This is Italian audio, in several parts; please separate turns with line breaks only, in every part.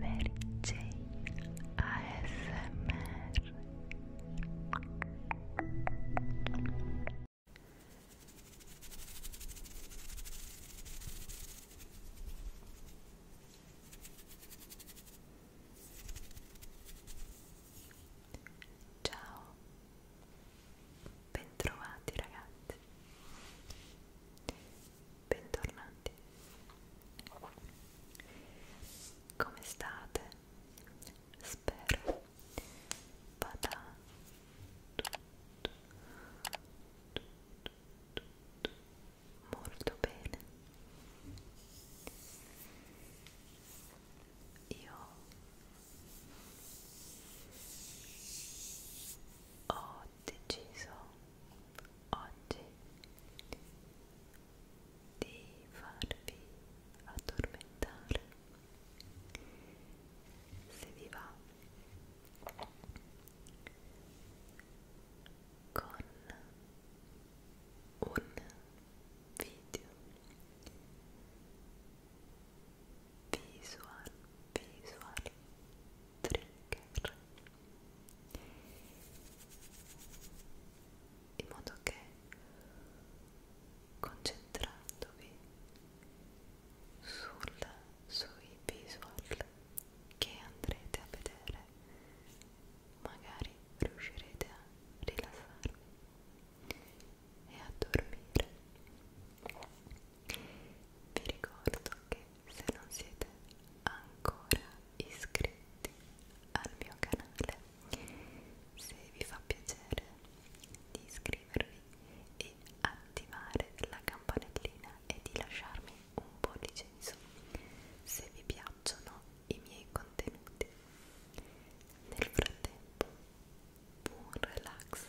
Mary Jane ASMR
Ciao, bentrovati ragazzi
bentornati come state? spero vada molto bene io ho deciso oggi di farvi addormentare se vi va con un video visual visual trigger in modo che concentrandovi sul, sui visual che andrete a vedere magari riuscirete a rilassarvi e a dormire vi ricordo che se non siete ancora iscritti al mio canale se vi fa piacere di iscrivervi e attivare la campanellina e di lasciarmi un pollice in su se vi piacciono i miei contenuti nel frattempo buon relax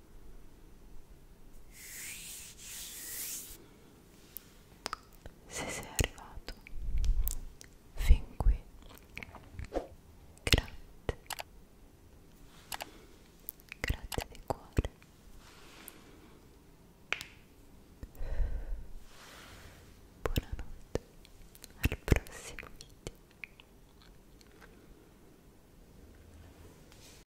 Se sei arrivato fin qui, grazie, grazie di cuore. Buonanotte, al prossimo video.